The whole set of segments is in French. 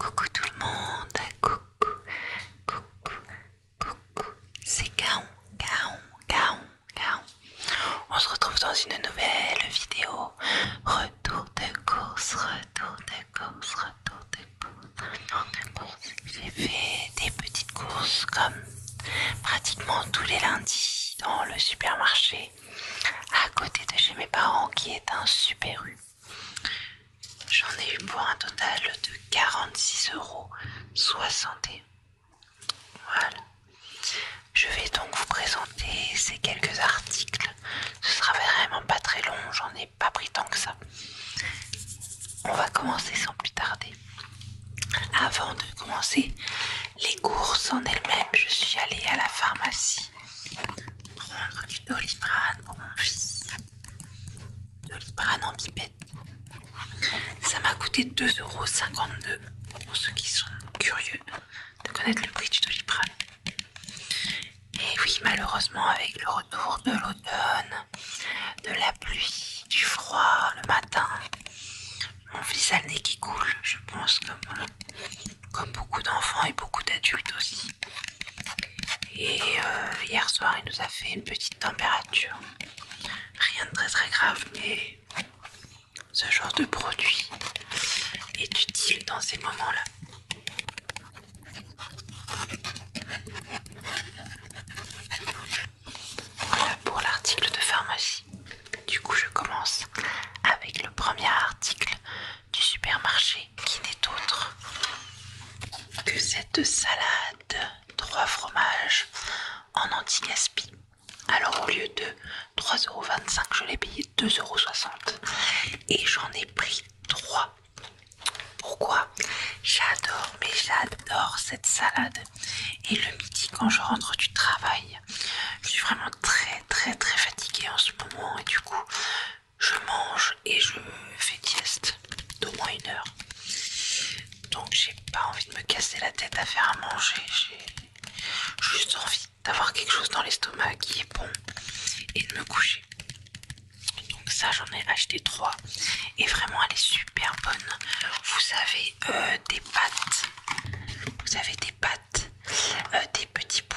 Coucou tout le monde, coucou, coucou, coucou, c'est Gaon, Gaon, Gaon, Gaon. On se retrouve dans une nouvelle vidéo. Retour de course, retour de course, retour de course, J'ai fait des petites courses comme pratiquement tous les lundis dans le supermarché à côté de chez mes parents qui est un super rue. J'en ai eu pour un total de 46,60€. Voilà. Je vais donc vous présenter ces quelques articles. Ce sera vraiment pas très long, j'en ai pas pris tant que ça. On va commencer sans plus tarder. Avant de commencer les courses en elles-mêmes, je suis allée à la pharmacie prendre du doliprane pour mon fils. Doliprane en pipette. Ça m'a coûté 2,52€ pour ceux qui sont curieux de connaître le prix du doliprane. Et oui, malheureusement, avec le retour de l'automne, de la pluie, du froid le matin, mon fils a le nez qui coule, je pense, que comme beaucoup d'enfants et beaucoup d'adultes aussi. Et euh, hier soir, il nous a fait une petite température. Rien de très très grave, mais ce genre de produit est utile dans ces moments-là. Voilà pour l'article de pharmacie. Du coup, je commence avec le premier article du supermarché qui n'est autre que cette salade trois fromages en anti-gaspi. Alors au lieu de 3,25€, je l'ai payé 2,60€ et j'en ai pris 3. Pourquoi J'adore, mais j'adore cette salade. Et le midi, quand je rentre du travail, je suis vraiment très très très fatiguée en ce moment et du coup, je mange et je fais dieste d'au moins une heure. Donc j'ai pas envie de me casser la tête à faire à manger. J'ai juste envie d'avoir quelque chose dans l'estomac qui est bon et de me coucher. Donc ça j'en ai acheté trois et vraiment elle est super bonne. Vous avez euh, des pâtes, vous avez des pattes euh, des petits bouts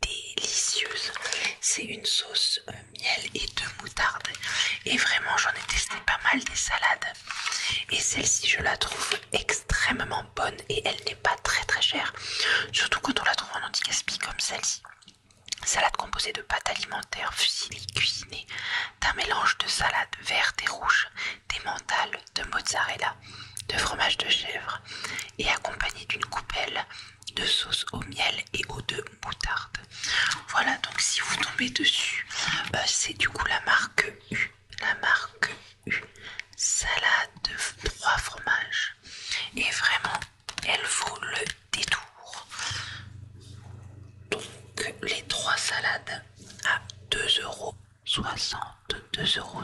délicieuse. C'est une sauce euh, miel et de moutarde. Et vraiment, j'en ai testé pas mal des salades. Et celle-ci, je la trouve extrêmement bonne et elle n'est pas très très chère. Surtout quand on la trouve en anti-gaspi comme celle-ci. Salade composée de pâtes alimentaires fusilées cuisinées, d'un mélange de salades vertes et rouges, des mentales, de mozzarella, de fromage de chèvre et accompagné d'une coupelle de sauce au miel et au de moutarde. Voilà, donc si vous tombez dessus, bah, c'est du coup la marque U, la marque U, salade de trois fromages. Et vraiment, elle vaut le détour. Donc les trois salades à 2 euros 62,60 euros.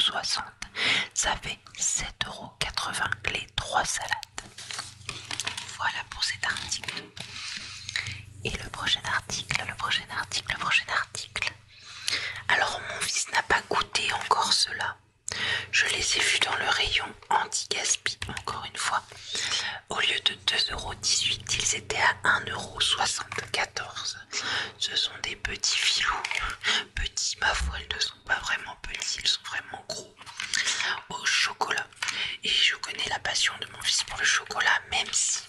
Ça fait 7,80 euros les trois salades. Voilà pour cet article. Et le prochain article, le prochain article, le prochain article. Alors mon fils n'a pas goûté encore cela. Je les ai vus dans le rayon anti-gaspi, encore une fois. Au lieu de 2,18€, ils étaient à 1,74 ce sont des petits filous. Petits, ma foi, ils ne sont pas vraiment petits, ils sont vraiment gros. Au chocolat. Et je connais la passion de mon fils pour le chocolat, même si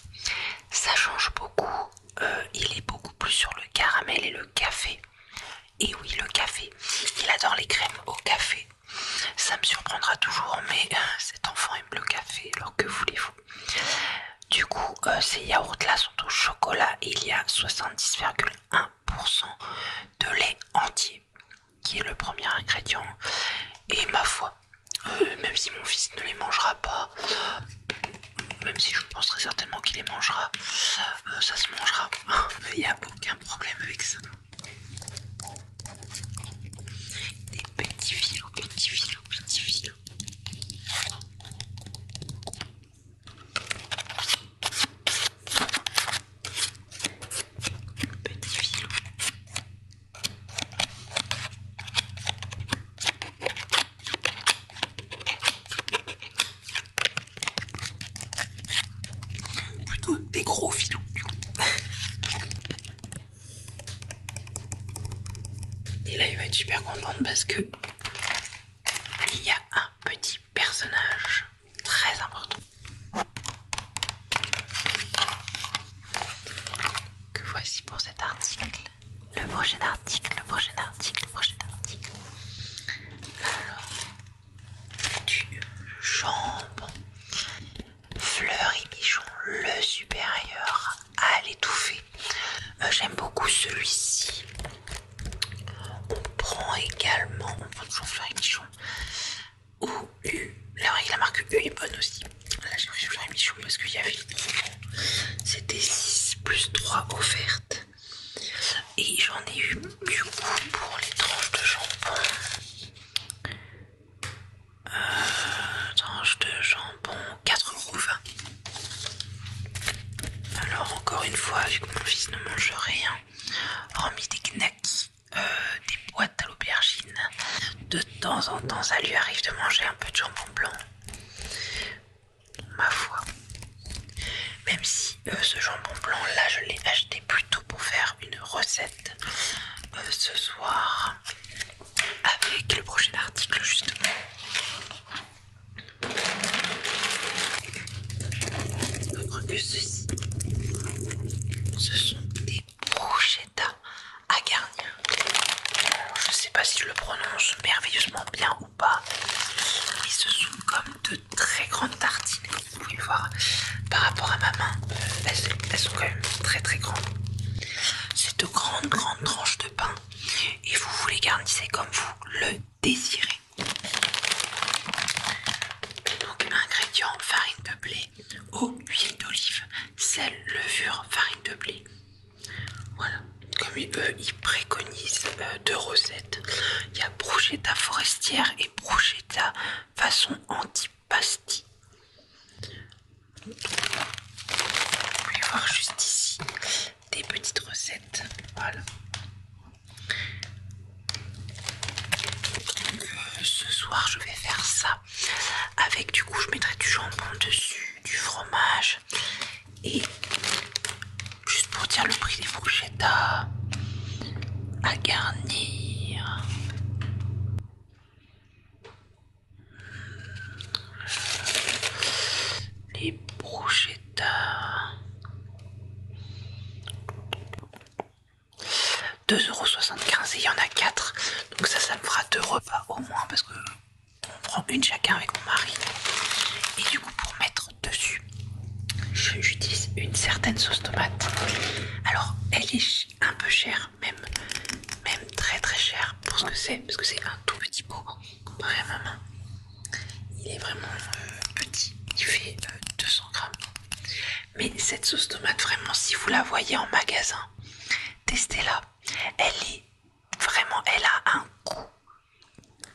ça change beaucoup. Euh, il est beaucoup plus sur le caramel et le café. Et oui, le café. Il adore les crèmes au café. Ça me surprendra toujours, mais euh, cet enfant aime le café, alors que voulez-vous Du coup, c'est euh, ces yaourts-là au chocolat il y a 70,1% de lait entier qui est le premier ingrédient. Et ma foi, euh, même si mon fils ne les mangera pas, même si je très certainement qu'il les mangera, euh, ça se mangera. Il n'y a aucun problème avec ça. Des petits fils, petits petits Petit filou. Plutôt des gros filous. Et là, il va être super content parce que il y a un petit personnage très important que voici pour cet article le prochain article le prochain article le prochain article alors du jambon Fleur et bichon le supérieur à l'étouffée euh, j'aime beaucoup celui-ci on prend également, on prend toujours fleur et Michon. Ou U. La marque U est bonne aussi. Là, j'ai pris fleur et Michon parce qu'il y avait C'était 6 plus 3 offertes. Et j'en ai eu du coup pour les tranches de jambon. Euh, tranches de jambon 4,20€. Alors encore une fois, vu que mon fils ne mange rien, remis des knacks, euh, des boîtes à l'aubergine, de temps en temps ça lui arrive de manger un peu de jambon blanc. Ma foi. Même si euh, ce jambon blanc là je l'ai acheté plutôt pour faire une recette euh, ce soir avec le prochain article justement ce sont des pochettas à garnir. je ne sais pas si je le prononce merveilleusement bien ou pas, mais ce sont comme de très grandes tartines. Vous pouvez voir par rapport à ma main, elles, sont quand même très très grandes. C'est de grandes grandes tranches de pain et vous vous les garnissez comme vous le désirez. Donc ingrédients farine de blé, eau, huile d'olive, sel, levure, farine de blé. Voilà, comme eux ils préconisent euh, deux recettes. Il y a bruschetta forestière et bruschetta façon antipasti. Vous pouvez voir juste ici des petites recettes. Voilà. Euh, ce soir, je vais faire ça. Avec du coup, je mettrai du jambon dessus, du fromage. Et juste pour dire le prix des brochettes à, garnir. Les brochettes 2,75€ et il y en a 4. Donc ça, ça me fera 2 repas au moins parce que on prend une chacun avec mon mari. Et du coup, pour mettre dessus, j'utilise une certaine sauce tomate. Alors, elle est un peu chère, même, même très très chère pour ce que c'est, parce que c'est un tout petit pot vraiment il est vraiment euh, petit, il fait 200 euh, grammes. Mais cette sauce tomate, vraiment, si vous la voyez en magasin, testez-la. Elle est vraiment, elle a un goût,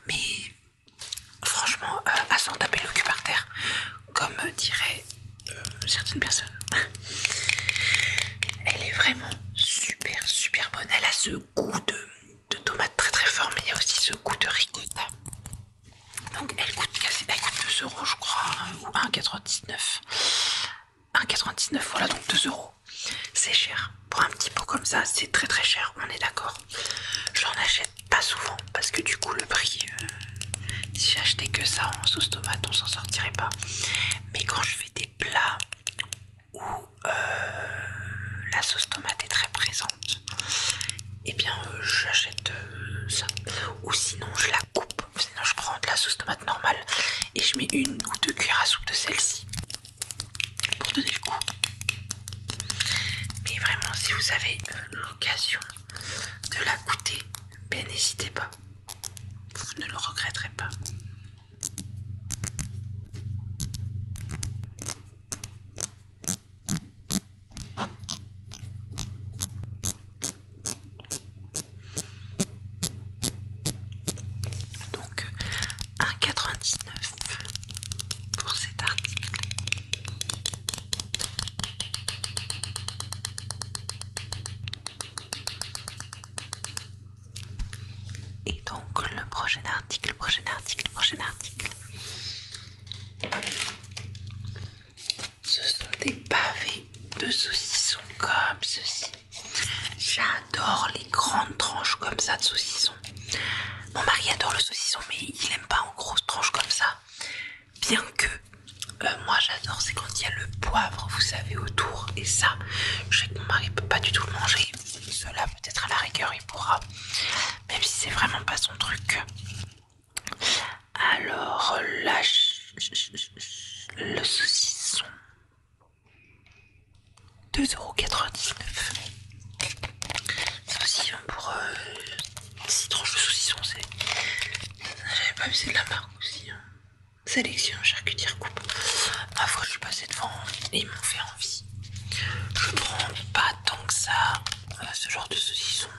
mais franchement, euh, à s'en taper le cul par terre, comme diraient certaines personnes. Elle est vraiment super, super bonne. Elle a ce goût de de tomates très très fort, mais il y a aussi ce goût de ricotta. Donc elle coûte elle 2 euros je crois, ou 1,99. 1,99, voilà donc 2 euros. C'est cher. Pour un petit pot comme ça, c'est très très cher, on est d'accord. je n'en achète pas souvent parce que du coup le prix, euh, si j'achetais que ça en sauce tomate, on s'en sortirait pas. Mais quand je fais des plats ou... Euh, la sauce tomate est très présente, et eh bien euh, j'achète euh, ça. Ou sinon je la coupe, sinon je prends de la sauce tomate normale et je mets une ou deux cuillères à soupe de celle-ci pour donner le goût. Mais vraiment si vous avez l'occasion de la goûter, ben n'hésitez pas, vous ne le regretterez pas. Donc 1,99 pour cet article. Et donc le prochain article, le prochain article, le prochain article. Ce sont des pavés de saucisson comme ceci. J'adore les grandes tranches comme ça de saucisson. Mon mari adore le saucisson, mais il n'aime pas en grosses tranches comme ça. Bien que euh, moi j'adore, c'est quand il y a le poivre, vous savez, autour. Et ça, je sais que mon mari peut pas du tout le manger. Cela peut-être à la rigueur il pourra même si c'est vraiment pas son truc. Alors là, le saucisson 2,99€. Hein, euh, c'est Saucisson pour citron. je tranches saucisson, c'est. J'avais pas vu, c'est de la marque aussi. Hein. Sélection, charcutière, coupe. Ma foi, je suis passée devant et ils m'ont fait envie. Je prends pas tant que ça euh, ce genre de saucisson.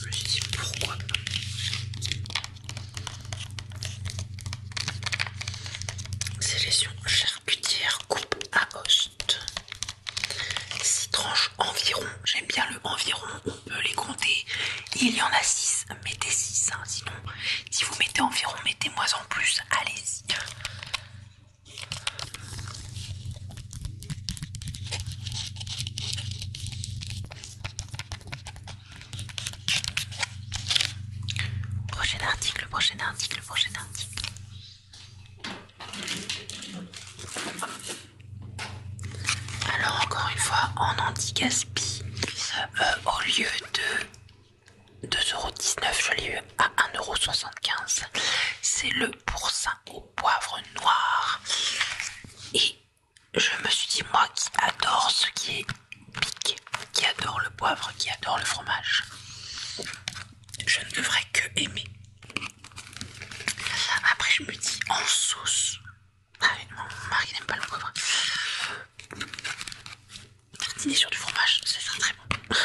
Je me pourquoi pas. Sélection charcutière, coupe à host 6 tranches environ. J'aime bien le environ, on peut les compter. Il y en a 6, mettez 6. Hein, sinon, si vous mettez environ, mettez-moi en plus. Allez-y. Prochain article, prochain article, prochain article. Alors encore une fois en anti-gaspi, euh, au lieu de 2,19€, je l'ai eu à 1,75€. C'est le pourcin au poivre noir. Et je me suis dit, moi qui adore ce qui est piqué, qui adore le poivre, qui adore le fromage, je ne devrais que aimer. Après, je me dis, en sauce. Ah, mon mari n'aime pas le poivre. Tartiner sur du fromage, ça serait très bon.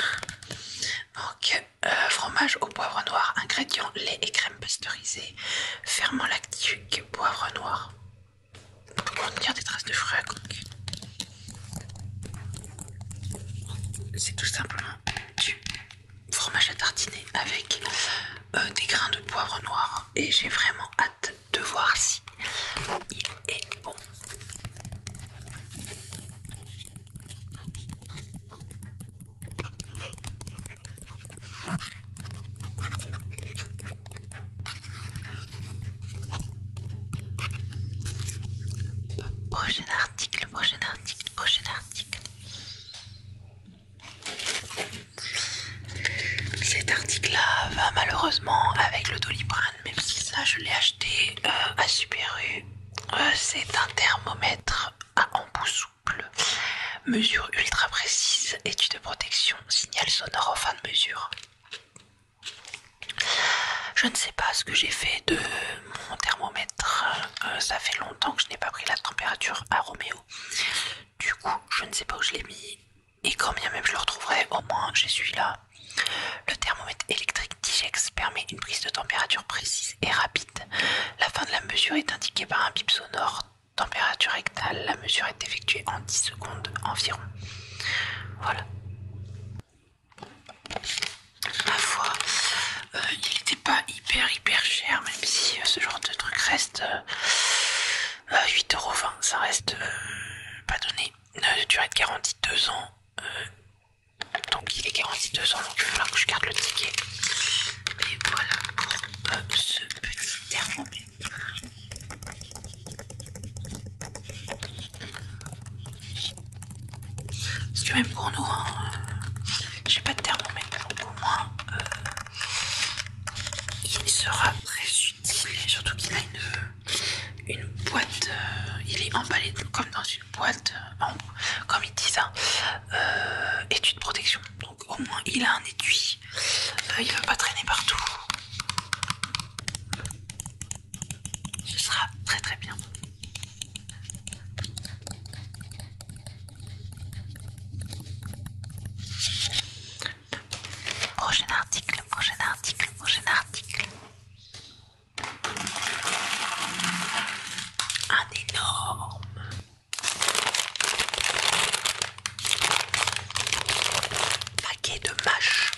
Donc, Euh, fromage au poivre noir, ingrédients lait et crème pasteurisée, ferment lactique, poivre noir. On contenir des traces de fruits à C'est tout simplement du fromage à tartiner avec euh, des grains de poivre noir et j'ai vraiment hâte de voir si il est bon. Prochain article, prochain article, prochain article. Cet article-là va malheureusement avec le Doliprane, même si ça je l'ai acheté euh, à Super U euh, c'est un thermomètre à embout souple, mesure ultra précise, étude de protection, signal sonore en fin de mesure. Je ne sais pas ce que j'ai fait de mon thermomètre. Euh, ça fait longtemps que je n'ai pas pris la température à Roméo. Du coup, je ne sais pas où je l'ai mis. Et quand même je le retrouverai, au moins j'ai suis là le thermomètre électrique Digex permet une prise de température précise et rapide. La fin de la mesure est indiquée par un bip sonore. Température rectale, la mesure est effectuée en 10 secondes environ. Voilà. Ma foi, euh, il n'était pas hyper hyper cher, même si euh, ce genre de truc reste euh, euros 8,20€, ça reste pas donné. ne durée de garantie 2 ans donc il est garanti 2 ans, donc il que je garde le ticket. Et voilà pour euh, ce petit thermomètre. Parce que même pour nous, hein, euh, j'ai pas de thermomètre, donc au moins euh, il sera très utile. Surtout qu'il a une, une boîte, il est emballé comme dans une boîte euh, comme ils disent, hein, euh, étui de protection donc au moins il a un étui euh, il va pas traîner partout ce sera très très bien Prochain article, prochain article, prochain article. Un énorme. Paquet de mâches.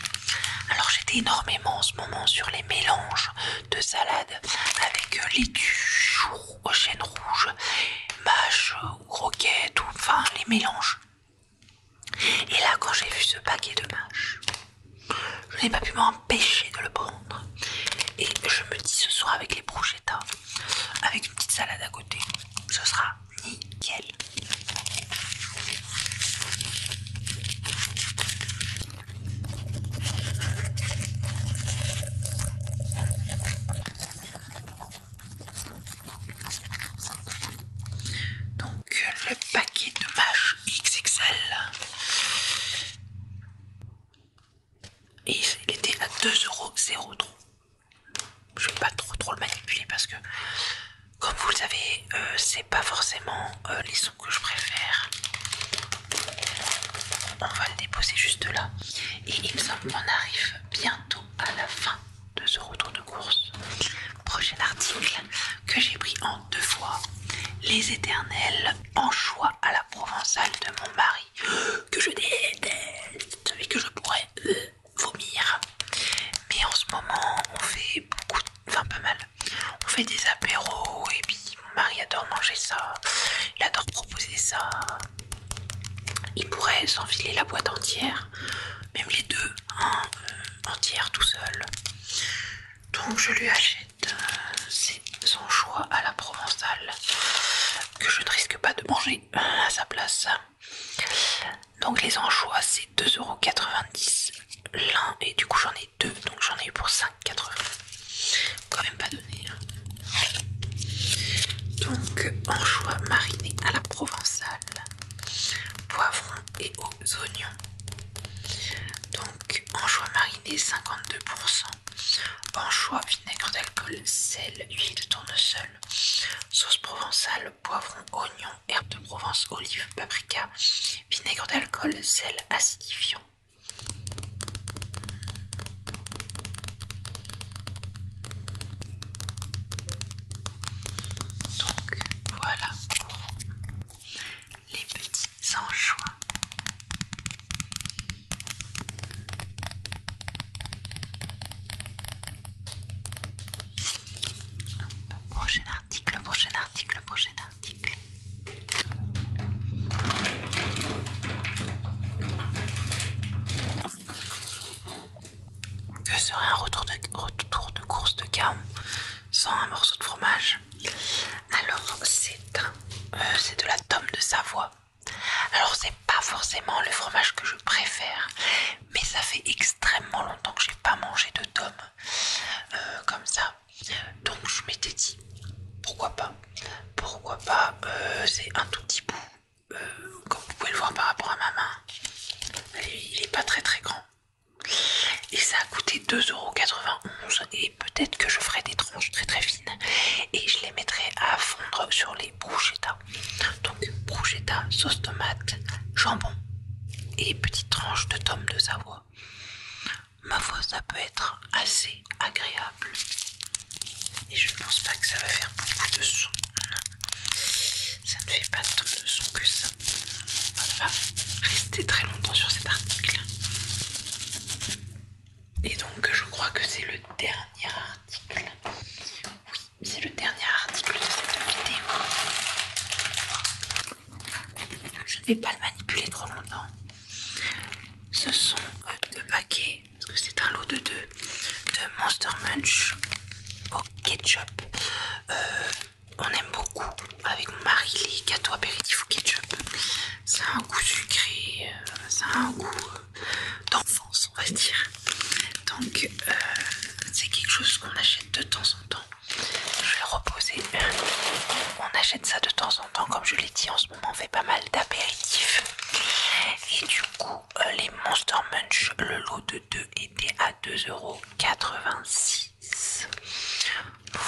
Alors j'étais énormément en ce moment sur les mélanges de salade avec euh, laitue, rouge, chêne rouges, mâches ou roquettes, ou enfin les mélanges. Et là quand j'ai vu ce paquet de mâches, je n'ai pas pu m'empêcher de le prendre. Et je me dis ce soir avec les brochettes avec une petite salade à côté, ce sera nickel. Donc le paquet de mâches XXL et il était à 2,0€. Je vais pas trop trop le manipuler parce que comme vous le savez euh, c'est pas forcément euh, les sons que je préfère. On va le déposer juste là. Et il semble arrive bientôt à la fin de ce retour de course. Prochain article que j'ai pris en deux fois les éternels choix à la provençale de mon mari, que je déteste et que je pourrais euh, vomir. Mais en ce moment, on fait beaucoup, enfin pas mal, on fait des apéros et puis mon mari adore manger ça, il adore proposer ça. Il pourrait s'enfiler la boîte entière, même les deux, en hein, euh, entière tout seul. Donc je lui achète ces euh, c'est son choix à la provençale que je ne risque pas de manger euh, à sa place. Donc les anchois c'est 2,90€ l'un et du coup j'en ai deux donc j'en ai eu pour 5,80€. Quand même pas donné. Hein. Donc anchois marinés à la provençale, poivrons et aux oignons donc anchois 52%, anchois, vinaigre d'alcool, sel, huile de tournesol, sauce provençale, poivron, oignon, herbe de Provence, olive, paprika, vinaigre d'alcool, sel acidifiant. Donc voilà les petits anchois. Prochain article, prochain article, prochain article. Que serait un retour de, course de gamme sans un morceau de fromage alors euh, c'est de la tome de Savoie. Alors c'est pas forcément le fromage que je préfère, mais ça fait extrêmement longtemps que j'ai pas mangé de tome euh, comme ça. Donc je m'étais dit pourquoi pas, pourquoi pas. Euh, c'est un tout petit bout, comme vous pouvez le voir par rapport à ma main. Il est pas très très grand. Et ça a coûté 2,91€ et peut-être que je ferai des tranches très très fines et je les mettrai à fondre sur les bruschetta. Donc bruschetta, sauce tomate, jambon et petites tranches de tomes de Savoie. Ma voix ça peut être assez agréable. Et je ne pense pas que ça va faire beaucoup de son. Ça ne fait pas de son que ça. On va rester très longtemps sur cet article. Et donc je crois que c'est le dernier article. Oui, c'est le dernier article de cette vidéo. Je ne vais pas le manipuler trop longtemps. Ce sont euh, deux paquets, parce que c'est un lot de deux, de Monster Munch au ketchup. Euh, on aime beaucoup avec Marie, mari les gâteaux apéritifs au ketchup. Ça a un goût sucré, euh, ça a un goût euh, d'enfance, on va dire. Donc, euh, c'est quelque chose qu'on achète de temps en temps. Je vais reposer. On achète ça de temps en temps, comme je l'ai dit, en ce moment on fait pas mal d'apéritifs. Et du coup, les Monster Munch, le lot de 2 était à 2,86€.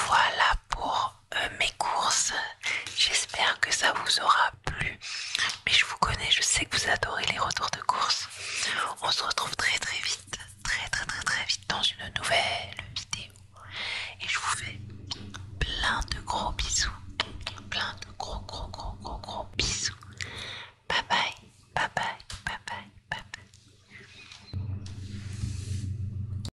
Voilà pour euh, mes courses. J'espère que ça vous aura plu. Mais je vous connais, je sais que vous adorez les retours de course. On se retrouve très très vite, très très très très vite dans une nouvelle vidéo. Et je vous fais plein de gros bisous. Plein de gros gros gros gros gros bisous. bye bye, bye bye, bye bye.